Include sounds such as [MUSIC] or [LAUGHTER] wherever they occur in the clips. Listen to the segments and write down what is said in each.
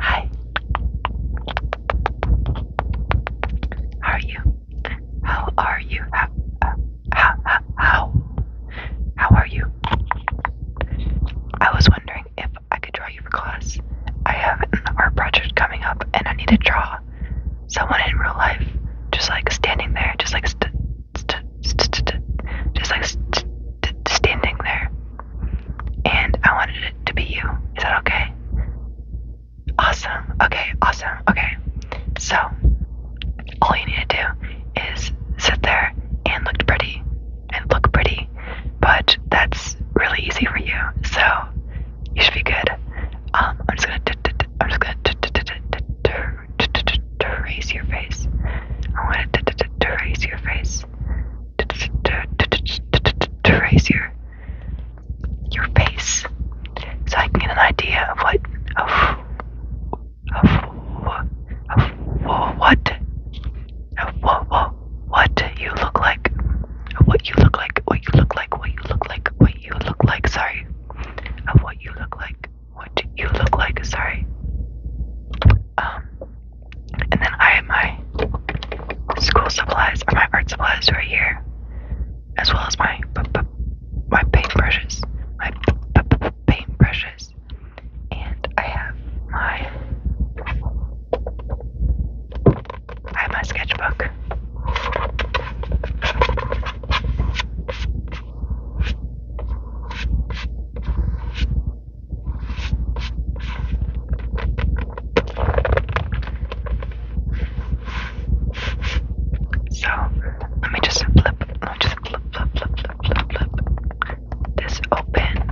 Hi. How are you? How are you? How, uh, how, how, how? How are you? I was wondering if I could draw you for class. I have an art project coming up and I need to draw someone in real life. Just like standing there, just like st st st st just like st st standing there and I wanted it to be you. Is that okay? Awesome. Okay, awesome. Okay. So, all you need to do is sit there and look pretty and look pretty, but that's really easy for you. So, you should be good. Um, I'm just gonna, I'm just gonna erase your face. I want to erase your face. To raise your face so I can get an idea of what of of what of what what you look like what you look like what you look like what you look like what you look like sorry of what you look like what you look like sorry um and then I have my school supplies or my art supplies right here, as well as my my paint brushes, my paint brushes, and I have my I have my sketchbook. So let me just flip, let me just flip, flip, flip, flip, flip, flip this open.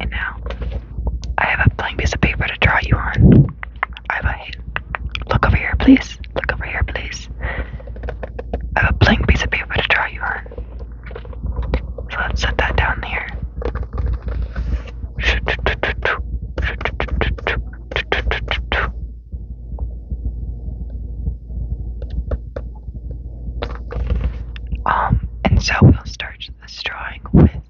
And now I have a blank piece of paper to draw you on. I have a look over here, please. Look over here, please. I have a blank piece of paper to draw you on. So let's set that down here. Um, and so we'll start this drawing with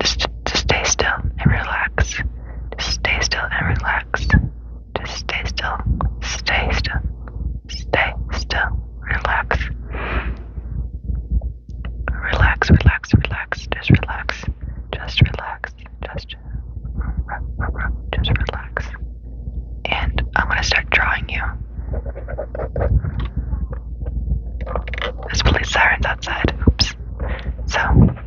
Just, just stay still and relax. Just stay still and relax. Just stay still. Stay still. Stay still. Relax. Relax, relax, relax. Just relax. Just relax. Just, just relax. And I'm gonna start drawing you. There's police sirens outside. Oops. So you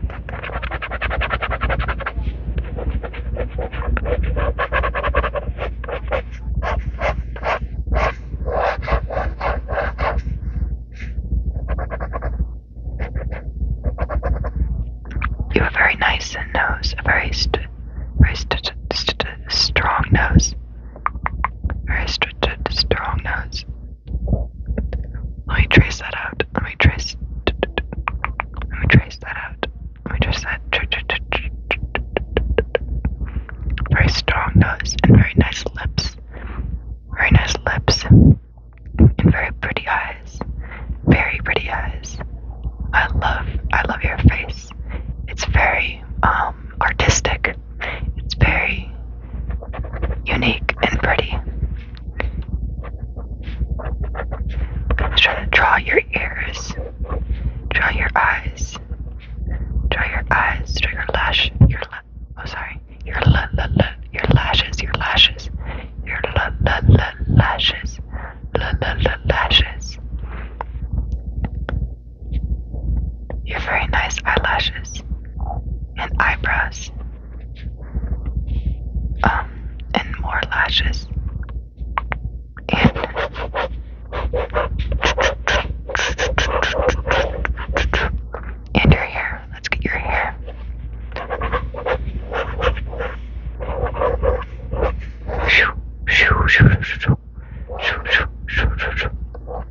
have a very nice nose, a very, st very st st strong nose, very st st strong nose. Let me trace that out. Let me trace. Let me trace that out. Let me trace that. Very strong nose and very nice lips. Very nice lips and very pretty eyes. Very pretty eyes. I love. I love your face. It's very um artistic. It's very unique and pretty. Just try to draw your ears, draw your eyes, draw your eyes, draw your lash, your oh sorry, your la la la, your lashes, your lashes, your la la la lashes, la la la lashes. You very nice eyelashes and eyebrows, um, and more lashes, and and your hair. Let's get your hair. Shoo, shoo, shoo, shoo, shoo, shoo, shoo, shoo,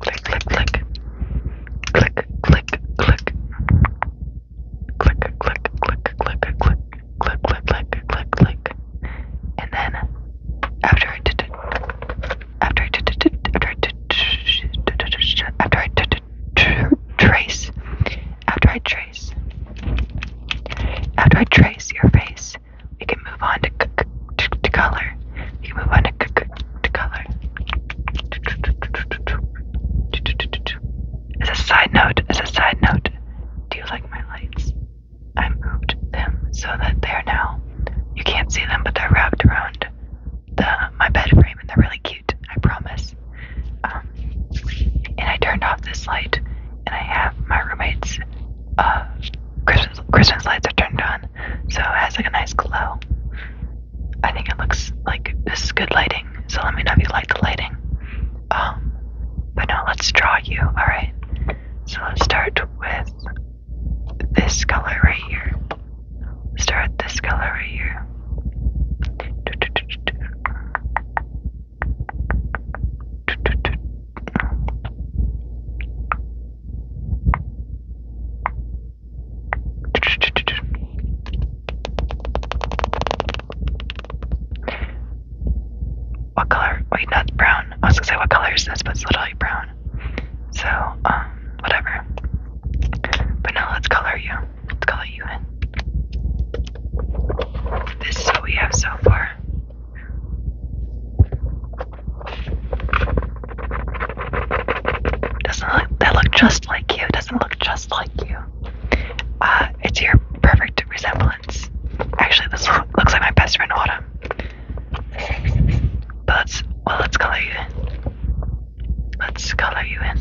Click, click, click. Click, click, click. Click, click, click, click, click, click, click, click, click, click. And then after I did it, after I did it, after I did it, after I did it, trace, after I trace, after I trace your face, we can move on to to color. We can move on to color. As a side note, as a side note, do you like my lights? I moved them so that they're now, you can't see them, but they're wrapped around the my bed frame and they're really cute, I promise. Um, and I turned off this light and I have my roommate's uh, Christmas, Christmas lights are turned on, so it has like a nice glow. I think it looks like this is good lighting, so let me know if you like the lighting. Um, but no, let's draw you, alright? So let's start with this color right here. start this color right here. What color? Wait, that's brown. I was gonna say what color is this, but it's literally brown. So, um, whatever. But now let's color you. Let's color you in. This is what we have so far. Doesn't look that look just like you? Doesn't look just like you. Uh, it's your perfect resemblance. Actually, this looks like my best friend Autumn. But let's well, let's color you in. Let's color you in.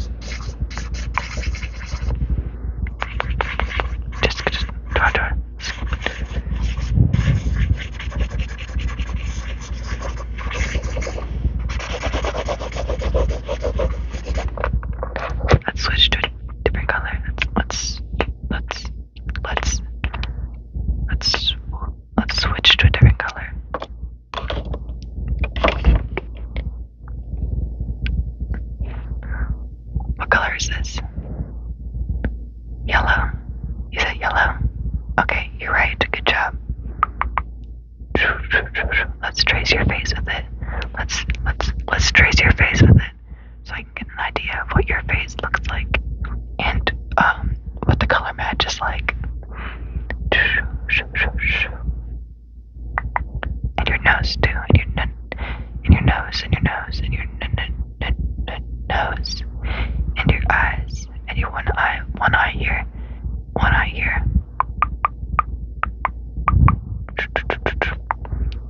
Just, just, draw, draw. Let's switch to a different color. Let's let's let's let's let's switch to a different color. What color is this? Yellow. You said yellow. Okay, you're right. Good job. Let's trace your face with it. Let's let's let's trace your face with it so I can get an idea of what your face looks like and um what the color match is like. And your nose too. And your and your nose and your nose and your nose and your eyes and your one eye one eye here one eye here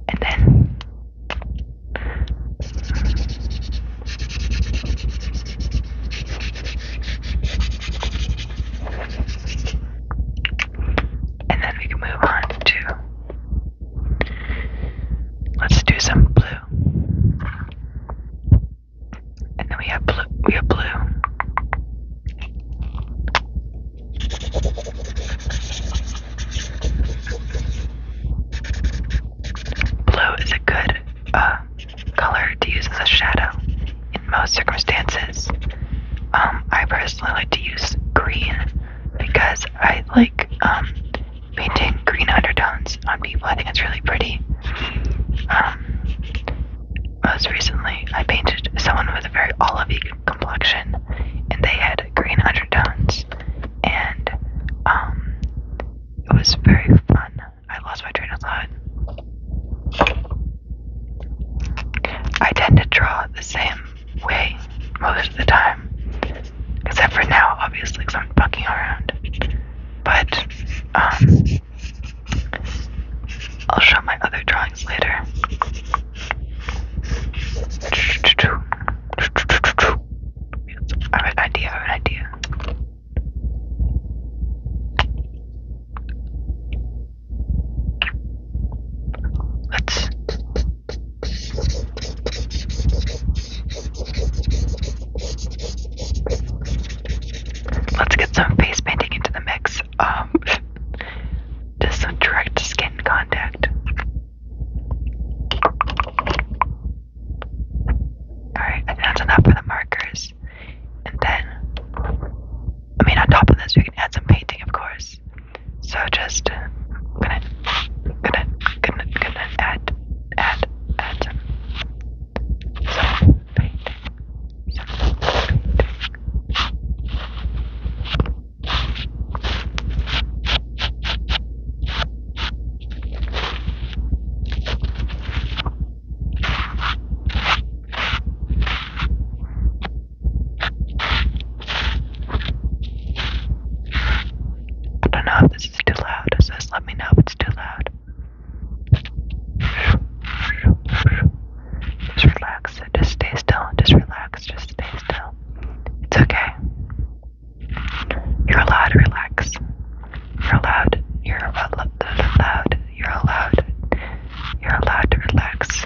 and then and then we can move on to Let's do some blue. And then we have blue we have blue. Blue is a good uh, color to use as a shadow in most circumstances. Um, I personally like to use green because I like um, painting green undertones on people. I think it's really pretty. Um, most recently, I painted someone with a very olivey complexion, and they had green undertones, and um, it was very fun. I lost my train of thought. I tend to draw the same way most of the time. Except for now, obviously, because I'm fucking around. But, um, I'll show my other drawings later. I have an idea, I have an idea. Let's Let's get some face painting into the mix. Um, [LAUGHS] just some direct skin contact. Alright, I think that's enough for the markers. And then, I mean, on top of this, we can add some painting, of course. So just gonna gonna gonna gonna add add add some some painting. I don't know if this is too loud. It says let me know if it's too loud. Just relax. Just stay still. Just relax. Just stay still. It's okay. You're allowed to relax. You're allowed. You're allowed. You're allowed. You're allowed to relax.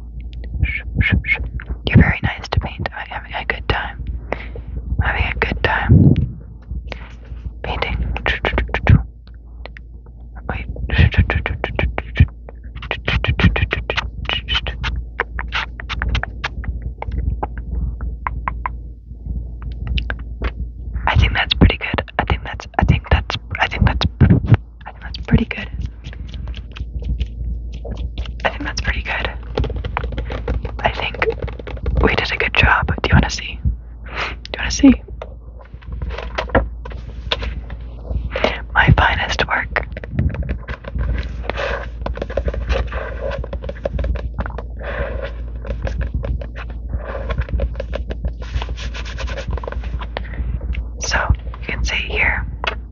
Shh, shh, shh. You're very nice to paint. I'm having a good time. I'm having a good time. Painting. Wait. I think that's pretty good. I think that's I think that's I think that's I think that's pretty good. I think that's pretty good. I think we did a good job. Do you want to see? Do you want to see? My finest work. So you can see here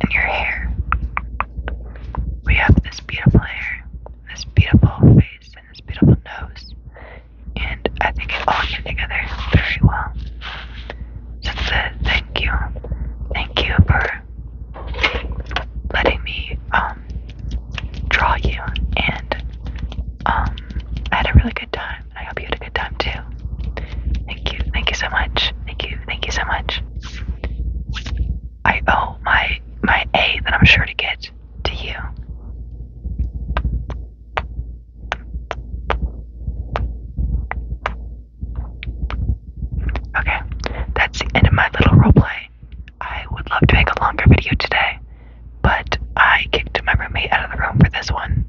and your hair. We have this beautiful hair, this beautiful face, and this beautiful nose, and I think it all came together very well. So thank you, thank you for letting me um draw you, and um I had a really good time. I hope you had a good time too. Thank you. Thank you so much. Thank you. Thank you so much. I owe my my A that I'm sure to get to you. Okay, that's the end of my little roleplay. I would love to make a longer video today, but I kicked my roommate out of the room for this one.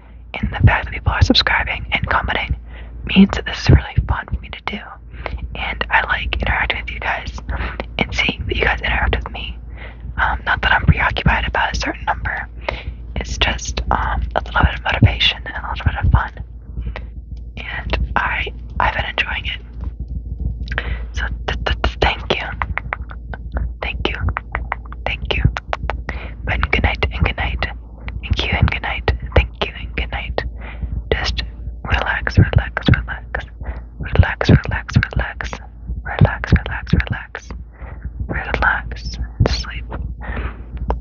and the fact that people are subscribing and commenting means that this is really fun for me to do. And I like interacting with you guys and seeing that you guys interact with me. Um, not that I'm preoccupied about a certain number, it's just um, a little bit of motivation and a little bit of fun. And I, I've been enjoying it. So thank you, thank you, thank you, but good night and good night. Thank you and good night. Thank you and good night. Just relax, relax, relax. Relax, relax, relax. Relax, relax, relax. Relax and sleep.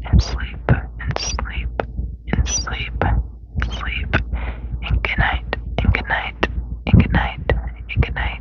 And sleep and sleep and sleep. Sleep and good night and good night and good night and good night.